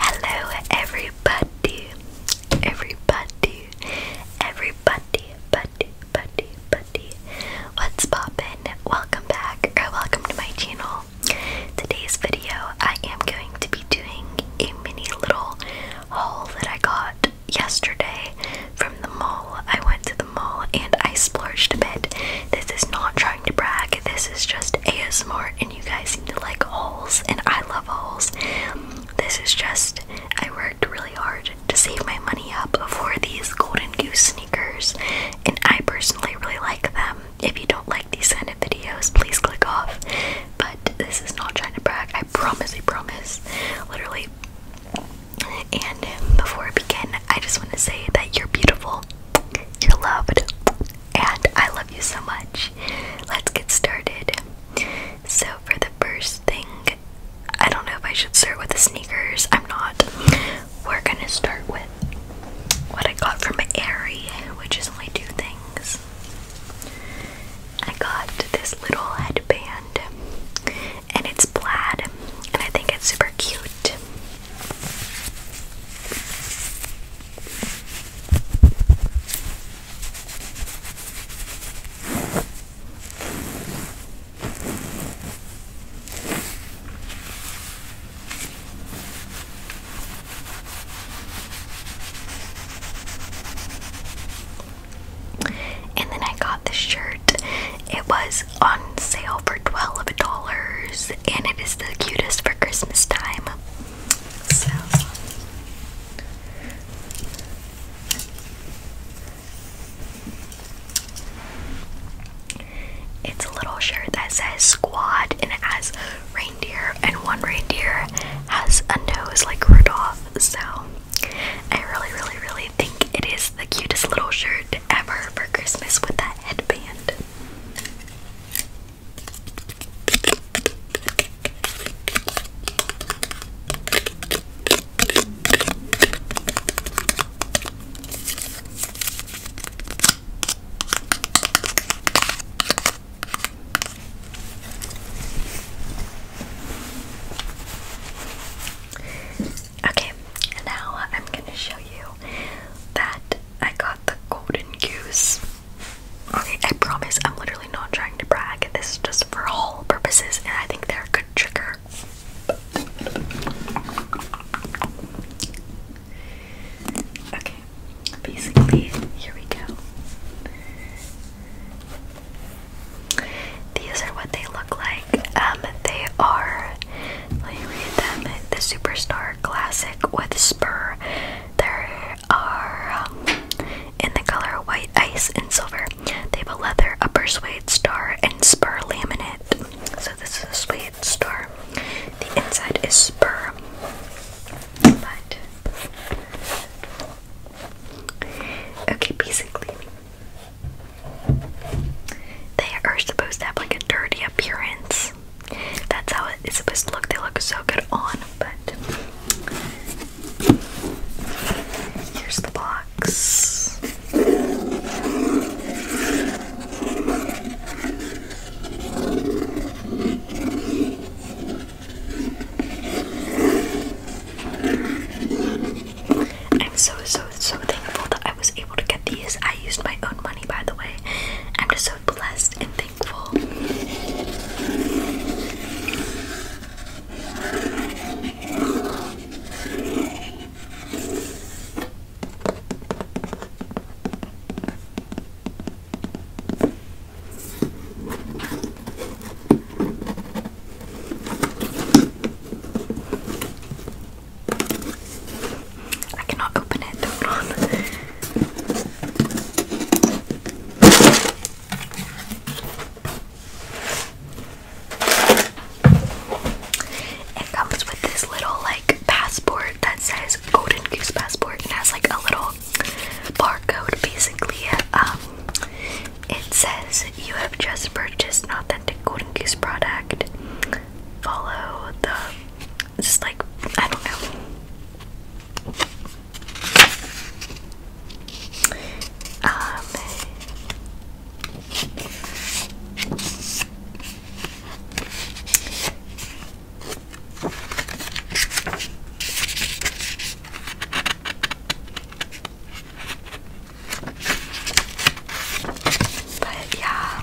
Hello, everybody, everybody, everybody, buddy, buddy, buddy. What's poppin'? Welcome back, or welcome to my channel. Today's video, I am going to be doing a mini little haul that I got yesterday from the mall. I went to the mall and I splurged a bit. This is not try to brag, this is just ASMR, and you guys seem to like hauls, and I love hauls. This is just, I worked really hard to save my money up for these Golden Goose sneakers, and I personally really like them. If you don't like these kind of videos, please click off. But this is not trying to brag, I promise, I promise. Literally. And before I begin, I just want to say that you're beautiful. You're loved, and I love you so much. Let's get started. So, for the first thing, I don't know if I should start with the sneakers. I'm not. We're gonna start with what I got from Aerie, which is only two things. I got this little headband, and it's plaid, and I think it's super cute. And then I got the shirt. It was on sale for $12 and it is the cutest for Christmas time. So it's a little shirt that says squad and it has reindeer and one reindeer has a nose like Rudolph. So I really really really think it is the cutest little shirt ever for Christmas with that headband. Okay, now I'm going to show you that I got the golden goose. Okay, I promise I'm literally not trying to brag. This is just for haul purposes, and I think they're a good trigger. Okay, basically, here we go. These are what they look like. Um, they are. Let me read them. The superstar classic with spur. There are um, in the color white ice and silver. They have a leather upper suede star and spur laminate. So this is a suede star. The inside is spur. okay, basically they are supposed to have like a dirty appearance that's how it's supposed to look. They look so good on, but here's the box. I'm so so so thankful that I I was able to get these. I used my own money, by the way. I'm just so blessed and thankful. I cannot open it, It comes with this little like passport that says Golden Goose Passport and has like a little barcode basically. Um it says you have just purchased an authentic Golden Goose product. Follow the just like I don't know. but yeah,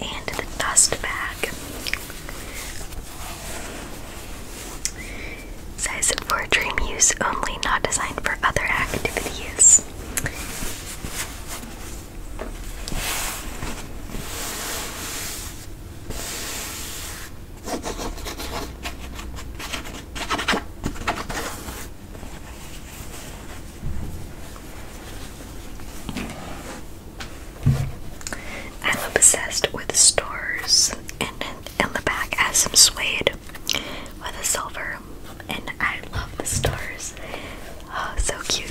And the dust bag says for dream use only, not designed for other activities. I'm obsessed with stars, and in the back has some suede with a silver, and I love the stars. Oh, so cute.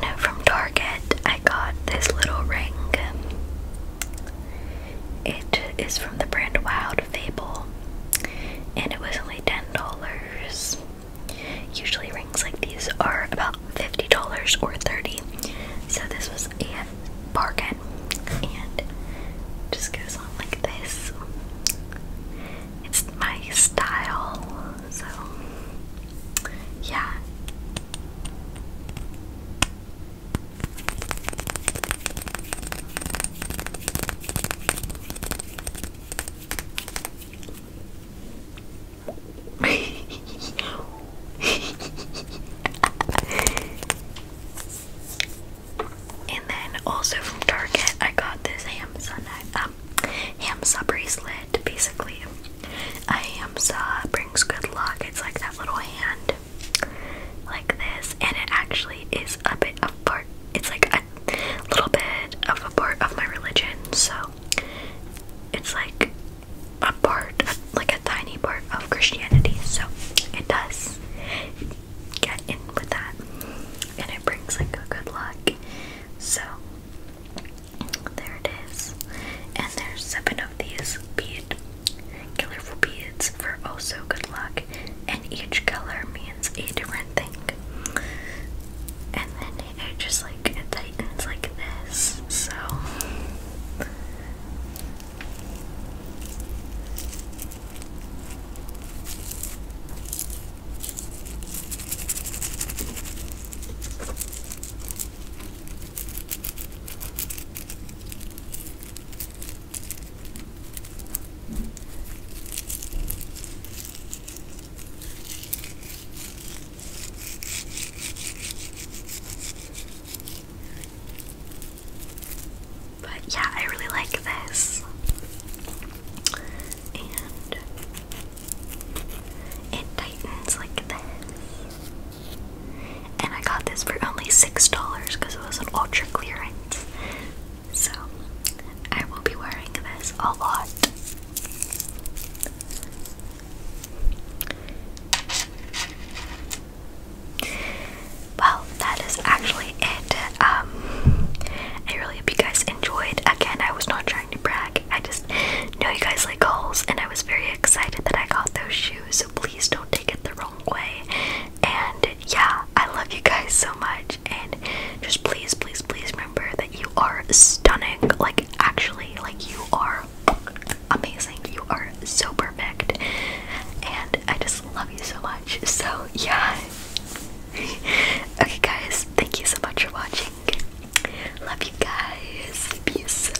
Then from Target, I got this little ring. It is from the brand Wild Fable, and it was only $10. Usually rings like these are about $50 or $30, so this was a bargain, and just goes on like this. It's my style, so yeah and then also from Target, I got this Hamsa um, Hamsa bracelet. Basically, a Hamsa um, brings good luck. It's like that little hand like this, and it actually is a bit of part. It's like a little bit of a part of my religion, so it's like a part, like a tiny part of Christianity. So it does get in with that, and it brings like a good luck. So there it is, and there's seven these bead colorful beads for also oh good luck, and each color means a different thing. And then it just like tightens like this, so. But yeah, I really like this. And it tightens like this. And I got this for only $6 because it was an ultra clearance. So I will be wearing this a lot. Well, that is actually it. Um, I really hope you guys enjoyed. Again, I was not trying to brag. I just know you guys like hauls, and I was very excited that I got those shoes please don't take it the wrong way. And yeah, I love you guys so much. And just please, please, please remember that you are stunning. Like, actually, like, you are amazing. You are so perfect. And I just love you so much. So, yeah. okay, guys, thank you so much for watching. Love you guys. Peace.